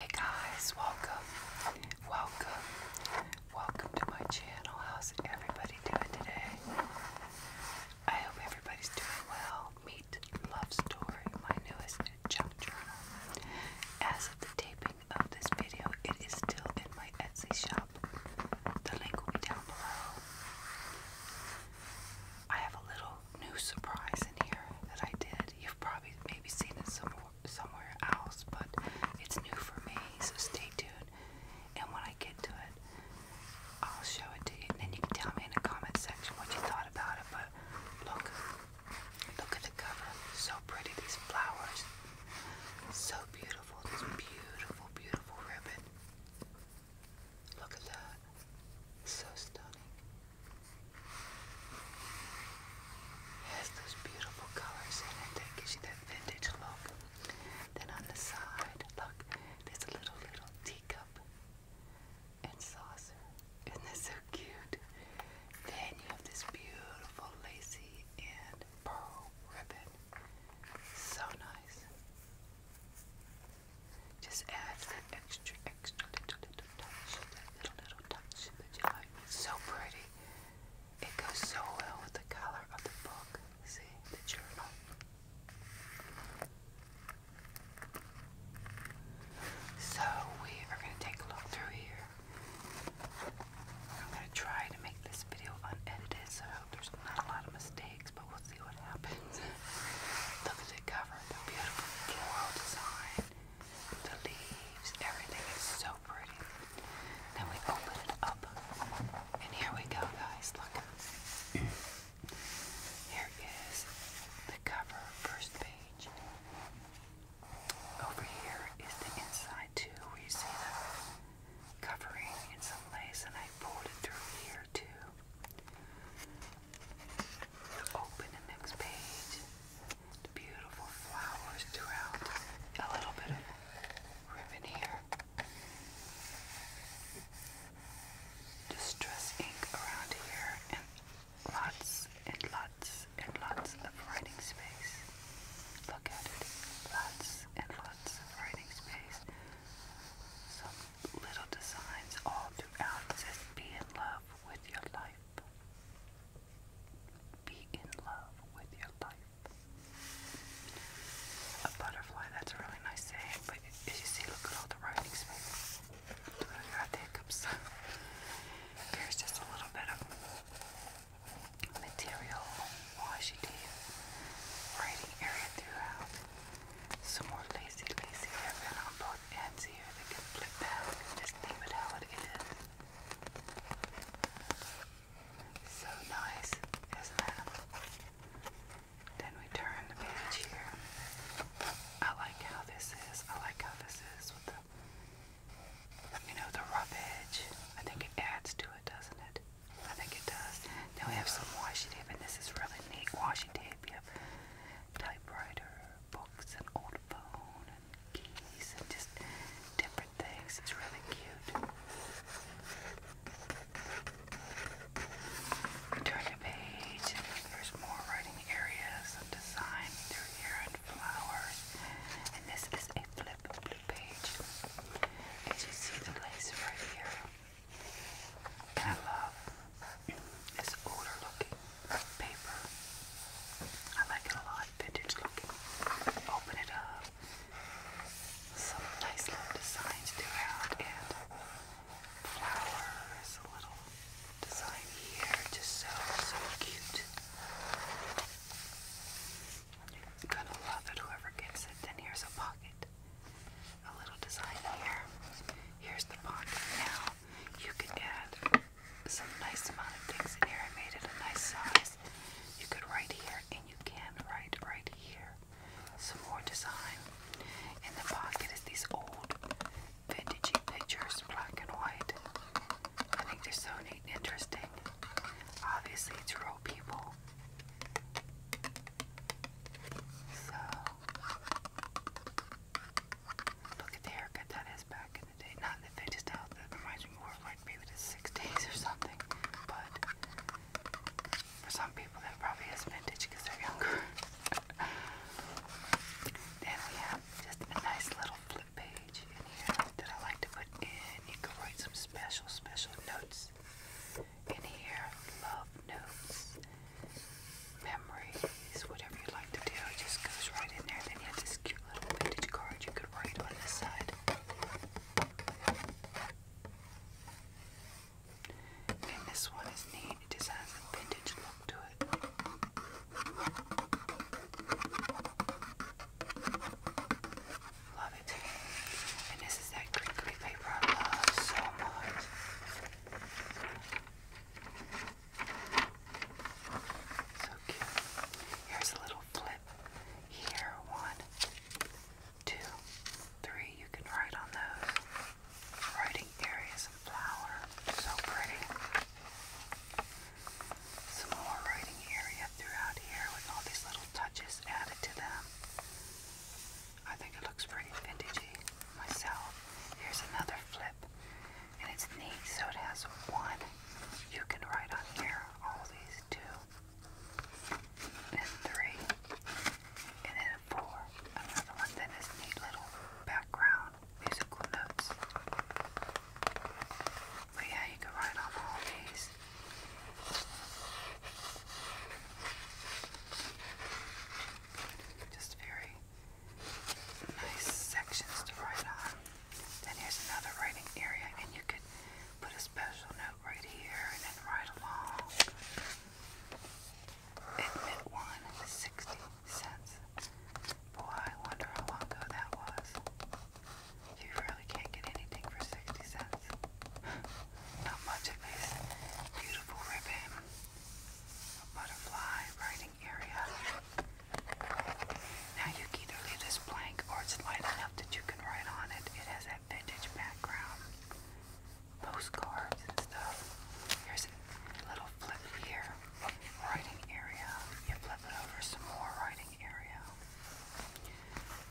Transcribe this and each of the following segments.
Hey guys, welcome, welcome, welcome to my channel. How's everybody doing today? I hope everybody's doing well. Meet Love Story, my newest junk journal. As of the taping of this video, it is still in my Etsy shop. The link will be down below. I have a little new surprise in here that I did. You've probably maybe seen it somewhere somewhere else, but it's new for me, so stay tuned. And when I get to it, I'll show it to you, and then you can tell me in the comment section what you thought about it. But look, look at the cover. So pretty, these flowers. So beautiful, this beautiful, beautiful ribbon. Look at that. So stunning has those beautiful colors in it that gives you that vintage look. Then on the side, look, there's a little little teacup and saucer. Isn't that so cute? Then you have this beautiful lacy and pearl ribbon. So nice. Just adds that extra, extra little, little, little, little touch that you like. so pretty. It goes so well with the color of the book. See, the journal. So we are going to take a look through here. I'm going to try to make this video unedited, so there's not a lot of mistakes, but we'll see what happens. Look at cover, the beautiful floral design the leaves, everything is so pretty. Then we open it up, and here we go, guys. Look, at here is the cover, first page. Over here is the inside, too, where you see the covering in some lace, and I pulled it through here, too. Open the next page beautiful flowers throughout. A little bit of ribbon here. Distress ink around here, and lots and lots and lots of writing space. Look at it. Lots and lots of writing space. Some little designs all throughout. It Be in love with your life. Be in love with your life. A butterfly, that's a really nice saying, but as you see, look at all the writing space. I got hiccups. Here's just a little bit of material washi writing area throughout. Some more lazy, lazy ribbon on both ends here, they can flip back and just leave it how it is. So nice, isn't it? Then we turn the page here. I like how this is. I like how this is with the, you know, the rough edge. I think it adds to it, doesn't it? I think it does. Now we have some washi tape, and this is really neat washi tape. You typewriter, books, an old phone, and keys, and just different things. It's really cute. Turn the page, there's more writing areas and design through here and flowers. And this is a flip blue page. And you see the lace right here. I love it's older looking paper. I like it a lot, vintage looking. Open it up. Some nice little designs throughout and flowers, a little design here, just so, so cute. gonna love it, whoever gets it. Then here's a pocket. A little design here. Here's the pocket. Now you can add some nice amount of things in here. I made it a nice size. You could write here, and you can write right here. Some more design. In the pocket is these old vintage pictures, black and white. I think they're so neat and interesting. Obviously, it's real people. So, Look at the haircut that is back in the day. Not that they just out that reminds me more of like maybe the 60s or something. But for some people that probably is vintage because they're younger. then we have just a nice little flip page in here that I like to put in. You can write some special, special notes in here. Love notes memories, whatever you like to do, it just goes right in there. Then you have this cute little vintage card you could write on this side. And this one is neat, it just has a vintage look to it. Love it. And this is that crinkly paper I love so much. So cute. Here's a little flip. Here, one, two, three. You can write on those. Writing areas of flower. So pretty. Some more writing area throughout here with all these little touches added to them. I think it looks pretty vintagey myself. Here's another flip and it's neat. So it has one you can write on here, all these two, and three, and then four. Another one that neat little background musical notes. yeah, you can write on all these. Just very nice sections to write on. Then here's another writing area, and you could put a special note right here and then write along. Admit one, 60 cents. Boy, I wonder how long ago that was. You really can't get anything for 60 cents. Not much of this beautiful ribbon. butterfly writing area. Now you can either leave this blank or it's light enough that you can write on it. It has that vintage background, postcards and stuff. Here's a little flip here, writing area. You flip it over, some more writing area.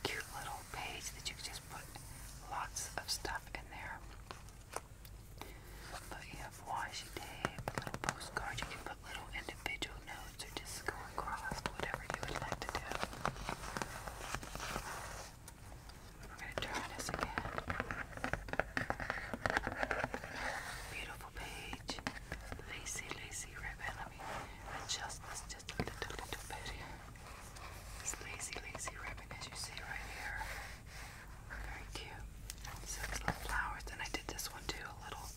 Cute little page that you can just put lots of stuff in there. But you have washi tape, little postcards. You can put little individual notes or just go across whatever you would like to do. We're going to try this again. Beautiful page. Lacy, lacy ribbon. Let me adjust just a little, little bit here. This lazy, lazy ribbon, as you see right here. Very cute. So flowers, and I did this one too, a little,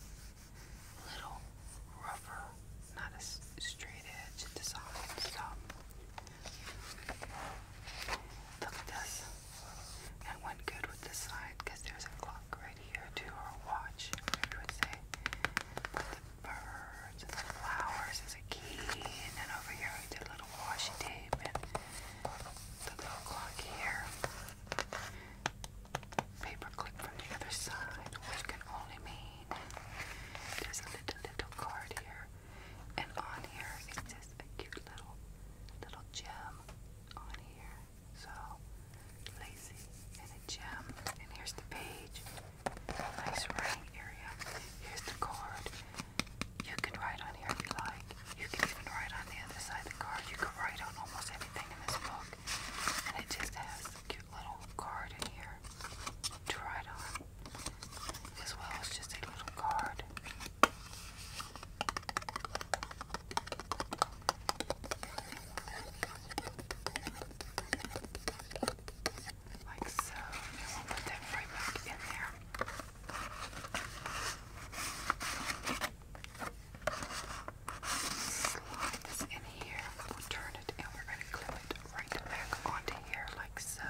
little rougher, not a straight edge design. So look at this. And one good with this side, because there's a clock right here too, or a watch. I would say. But the birds and the flowers is key, and then over here I did a little washi tape the little clock here, paperclip from the other side, which can only mean there's a little little card here, and on here it a cute little little gem on here. So lacy and a gem, and here's the page, nice writing area. Here's the card, you can write on here if you like. You can even write on the other side of the card. You can write on almost everything in this book. And it just has a cute little card in here to write on. As well as just a little card. Like so. I will put that right back in there. Slide this in here. We'll turn it and we're going to clip it right back onto here, like so.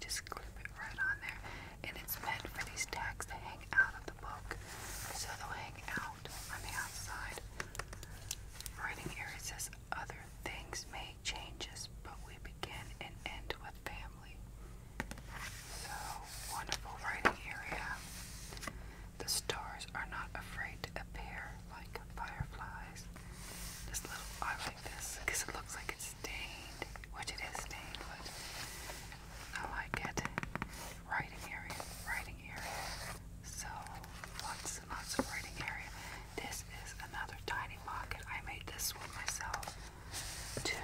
Just clip it right on there. And it's meant for these tags to hang out of the book. So they'll hang out on the outside. Writing area says other things may changes, but we begin and end with family. So wonderful writing area. The stars are not afraid to appear like fireflies. This little, I like this because it looks like it's stained, which it is stained, but I like it. Writing area, writing area. So lots and lots of writing area. This is another tiny pocket. I made this one myself too.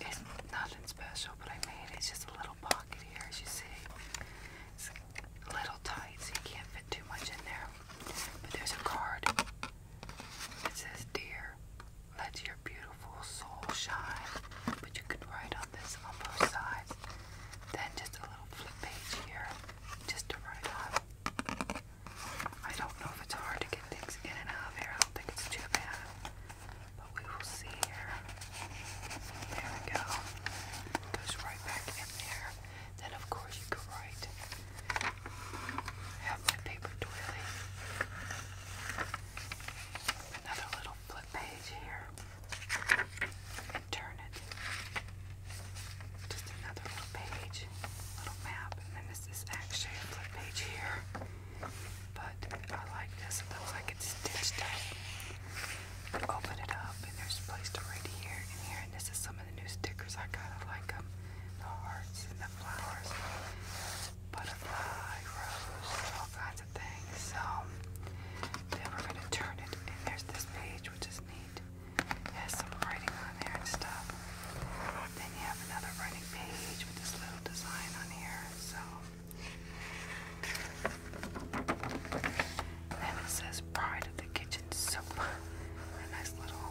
It's nothing special, but I made it. just a little pocket here, as you see. It's a little tight, so you can't fit too much in there. But there's a card. It says, Dear, let your beautiful soul shine. But you could write on this on both sides. Then just a little flip page here, just to write on. I don't know if it's hard to get things in and out of here. I don't think it's too bad. But we will see here. There we go. Goes right back in there. Then of course you go right. Have my paper doily. Another little flip page here. turn it. Just another little page. Little map. And then this is actually a flip page here. But I like this. It looks like it's stitched up. Open it up, and there's placed them right here and here. And this is some of the new stickers I got. I like them. The hearts the flowers, butterfly, rose, all kinds of things. So then we're gonna turn it, and there's this page, which is neat. It has some writing on there and stuff then you have another writing page with this little design on here. So then it says Pride of the Kitchen Soap. A nice little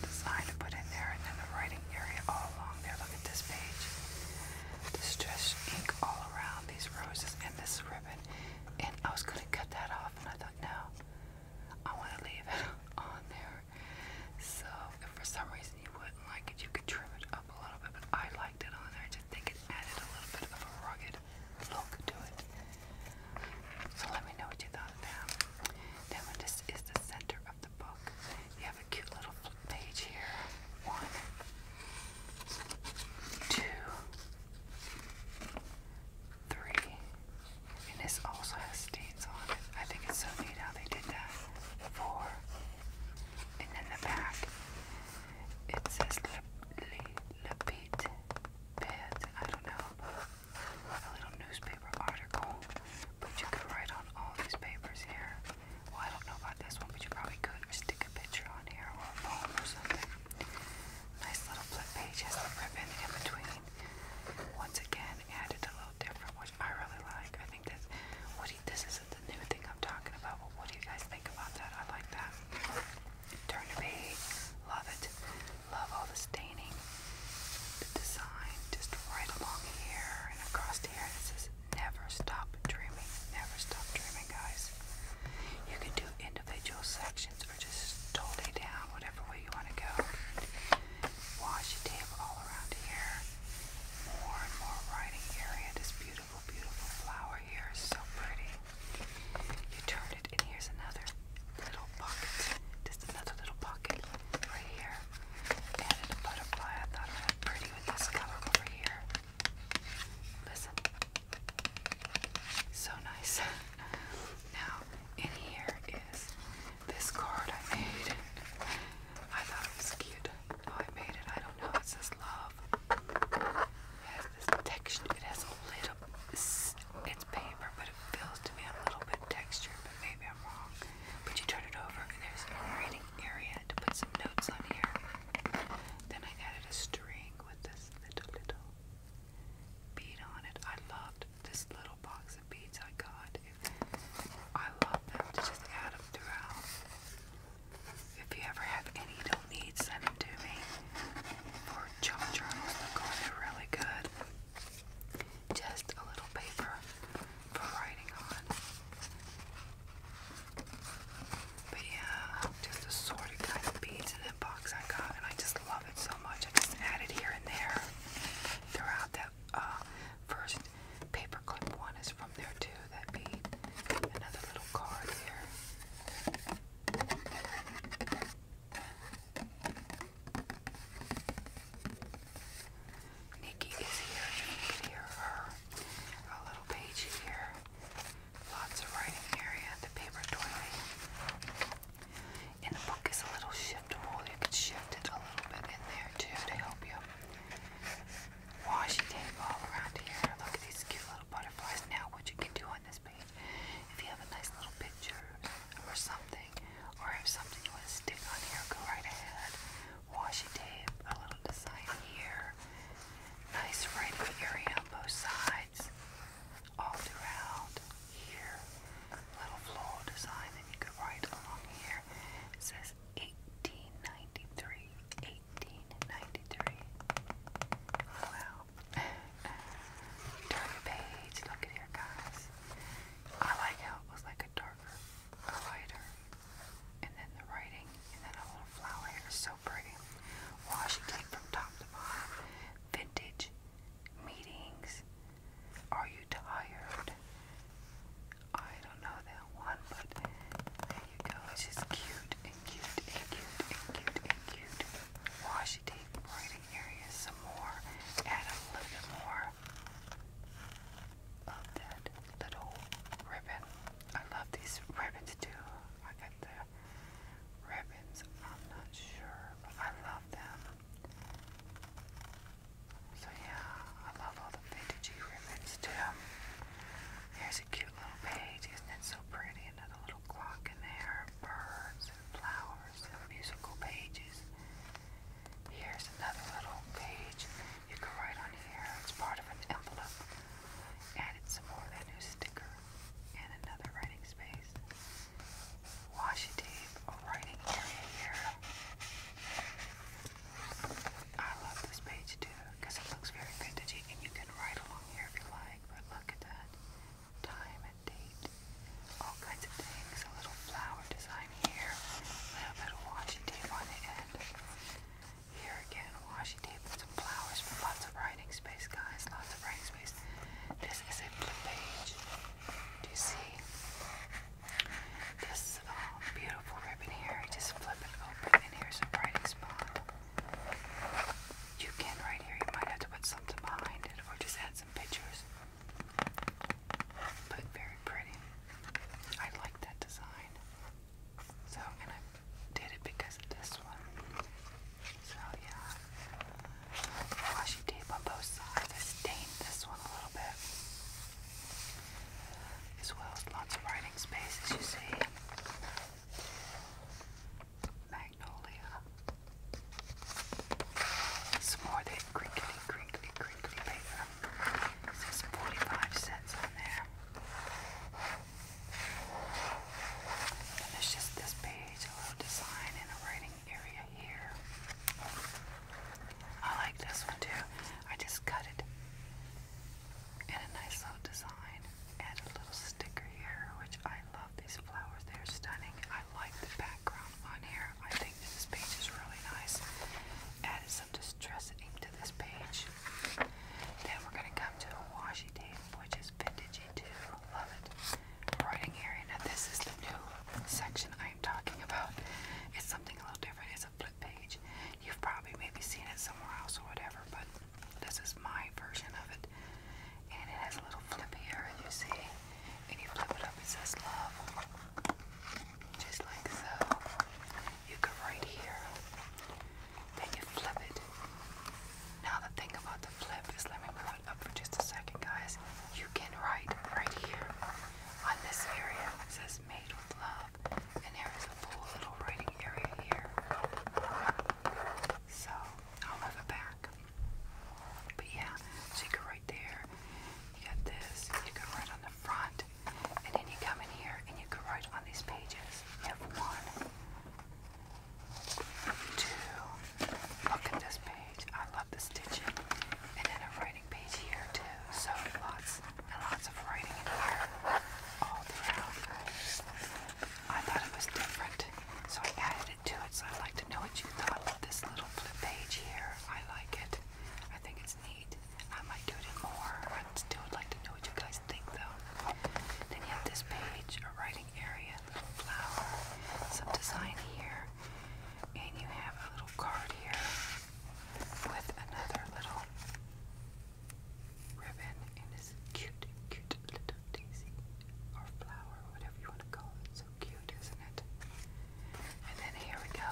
design to put in there. And then the writing area all along there. Look at this page. Distress ink all around these roses and this ribbon. And I was going to cut that off and I thought, no. I want to leave it on there. So if for some reason you wouldn't like it, you could trim it up a little bit. But I liked it on there. I just think it added a little bit of a rugged look to it. So let me know what you thought of that. this is the center of the book, you have a cute little page here. One, two, three. And this also has stains on it. I think it's so neat how they did that. Four. And then the back. It says Lapite Beds. I don't know. A little newspaper article. But you could write on all these papers here. Well, I don't know about this one, but you probably could. Or stick a picture on here or a poem or something. Nice little flip page has the ribbon in between. Once again, added a little different, which I really like. I think this, what do you, this isn't the new thing I'm talking about, but what do you guys think about that? I like that. Turn to me, love it. Love all the staining, the design, just right along here and across here. This is never stop dreaming, never stop dreaming, guys. You can do individual sections or just totally down, whatever way you want to go. Wash your table all around here. More and more writing area. This beautiful, beautiful flower here is so pretty. You turn it, and here's another little pocket. Just another little pocket right here. Added a butterfly. I thought it would look pretty with this color over here. Listen. So nice. Now, in here is this card I made. I thought it was cute. How oh, I made it, I don't know. It says love. It has this texture. It has a little. It's paper, but it feels to me a little bit textured. But maybe I'm wrong. But you turn it over, and there's a writing area to put some notes on here. Then I added a string with this little little bead on it. I love this little box of beads I got. I love them to just add them throughout. If you ever have any you do send them to me. For chalk journals, because they're really good. Just a little paper for writing on. But yeah, just assorted kind of beads in that box I got, and I just love love so much. I just added here and there throughout that uh, first paperclip one is from there too. That'd be another little card here. Nikki is here. You her. A little page here. Lots of writing area. The paper toilet. And the book is a little shiftable. You can shift it a little bit in there too to help you. Washi tape all around here. Look at these cute little butterflies. Now what you can do on this page, if you have a nice little picture or something, or if something you want to stick on here, go right ahead. Washi tape, a little design here. Nice writing area on both sides all throughout here. Little floral design, and you could write along here. It says 1893. 1893. Wow. Turn the page. Look at here, guys. I like how it was like a darker, a lighter, and then the writing, and then a little flower So pretty. Washi from top to bottom. Vintage meetings. Are you tired? I don't know that one, but there you go. It's just cute and cute and cute and cute and cute. Wash your teeth, some more. Add a more of that little ribbon. I love these ribbons too. I got the ribbons. I'm not sure, but I love them. So yeah, I love all the vintagey ribbons too. Here's a cute little page, isn't it so pretty? Another little clock in there, birds and flowers and musical pages. Here's another little page you can write on here. It's part of an envelope. Added some more of that new sticker and another writing space. Washi tape, a writing area here. I love this page too because it looks very vintagey and you can write along here if you like, but look at that. Time and date, all kinds of things. A little flower design here, a little bit of washi tape on the end. Here again, washi tape some flowers, but lots of writing space, guys. Lots of writing space. This is a blue page. Do you see this uh, beautiful ribbon here? Just flip it open, and here's a writing spot. You can right here. You might have to put something behind it, or just add some pictures. But very pretty. I like that design. So, and I did it because of this one. So yeah washi tape on both sides. I stained this one a little bit. As well as lots of writing space, as you see. Magnolia. Some more of that crinkly, crinkly, crinkly paper. It says 45 cents on there. And there's just this page, a little design and a writing area here. I like this one too. I just cut it in a nice little design. Add a little sticker here, which I love these flowers. They're stunning. I like the background on here. I think this page is really nice. Added some distress to this page. Then we're going to come to washi tape, which is vintage do. Love it. Writing area. Now this is the new section I'm talking about. It's something a little different. It's a flip page. You've probably maybe seen it somewhere else or whatever, but this is my version of it. And it has a little flip here, you see. And you flip it up, it says love. Just like so. You go right here. Then you flip it. Now the thing about the flip is let me up for just a second, guys, you can write right here on this area. It says made with love, and there is a full little writing area here. So I'll move it back. But yeah, you go right there. You got this. You can write on the front, and then you come in here and you can write on these pages. You have one, to look at this page. I love the stitching. And then a writing page here too. So lots and lots of writing in here all throughout. I thought it was different. So I added it to it. So I'd like to know what you thought of this little flip page here. I like it. I think it's neat. I might do it more. I still would like to know what you guys think though. Then you have this page, writing area, flower, some design here, and you have a little card here with another little ribbon and this cute, cute little daisy or flower, whatever you want to call it. So cute, isn't it? And then here we go.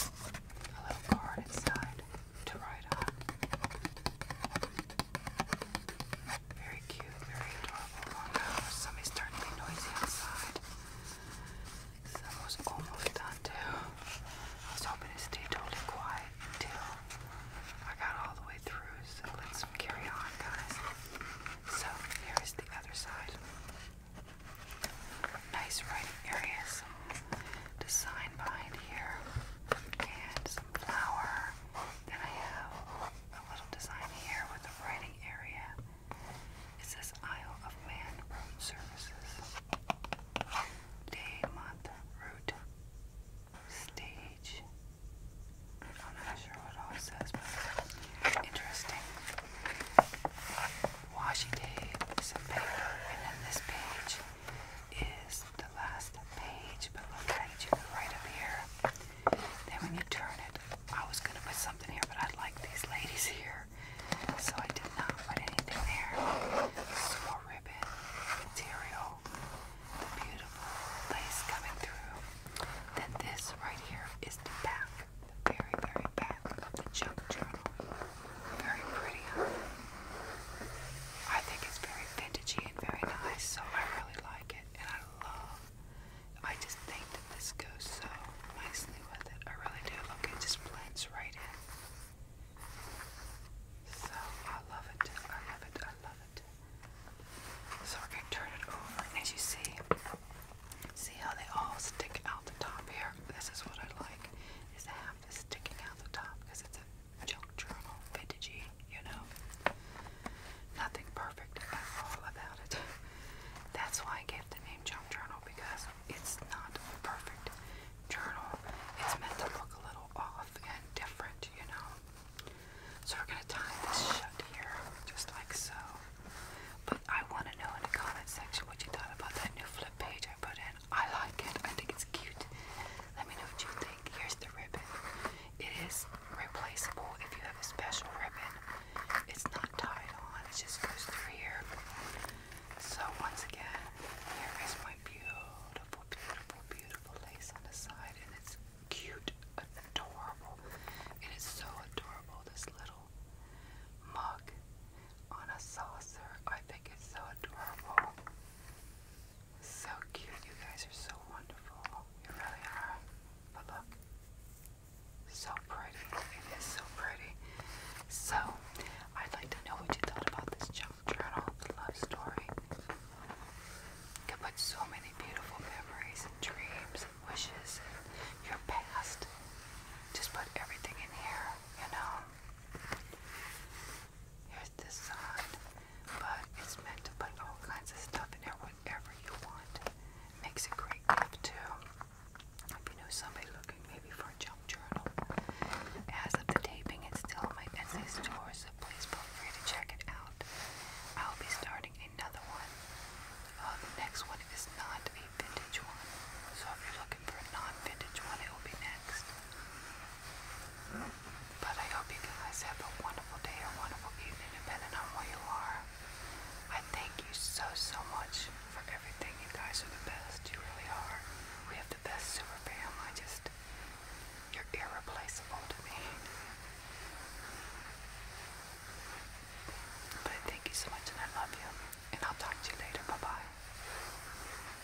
A little card inside to write on. Very cute, very adorable. Oh, somebody's starting to be noisy outside. That was almost done too. I was hoping to stay totally quiet until I got all the way through, so let's carry on, guys. So, here is the other side. Nice writing areas designed behind here. And some flour. Then I have a little design here with a writing area. It says Isle of Man Services. Day, month, route, stage. I'm not sure what all says, but interesting. Washi some paper, and then this page is the last page, but look at it, you right up here. Then when you turn it, I was gonna put something here, but I like these ladies here. So I did not put anything there. Some more ribbon material, the beautiful lace coming through. Then this right here is the back, the very, very back of the junk journal. Very pretty. I think it's very vintagey and very nice, so I really like it, and I love. I just think that this goes so nicely with it. I really do. Look, it just blends right in. So I love it. I love it. I love it. So we're gonna turn it over, and as you see, see how they all stick out the top here. This is what I like: is half is sticking out the top because it's a junk journal, vintagey, you know. Nothing perfect about it. That's why I gave the name junk journal because it's not a perfect journal. It's meant to look a little off and different, you know. So we're gonna tie this shut here, just like so. But I want to know in the comment section what you thought about that new flip page I put in. I like it. I think it's cute. Let me know what you think. Here's the ribbon. It is replaceable if you have a special ribbon. It's not tied on, it just goes through here. So once again, here is my beautiful, beautiful, beautiful lace on the side, and it's cute, adorable. It is so adorable, this little mug on a saucer. I think it's so adorable. So cute. You guys are so wonderful. You really are. But look. So pretty. It is so pretty. So, I'd like to know what you thought about this junk journal, the love story. You can put so many beautiful memories and dreams and wishes and your past. Just put everything in here, you know. Here's the sun but it's meant to put all kinds of stuff in there, whatever you want. Makes a great gift too. If you know somebody looking maybe for a junk journal. As of the taping, it's still in my Etsy store, so please feel free to check it out. I'll be starting another one. Uh, the next one is not a vintage one, so if you're looking for a non-vintage one, it will be next. But I hope you guys have a wonderful day or wonderful evening, depending on where you are. I thank you so, so much for everything. You guys are the best. You really are. We have the best super family. Just, you're irreplaceable to me. But thank you so much, and I love you. And I'll talk to you later. Bye bye.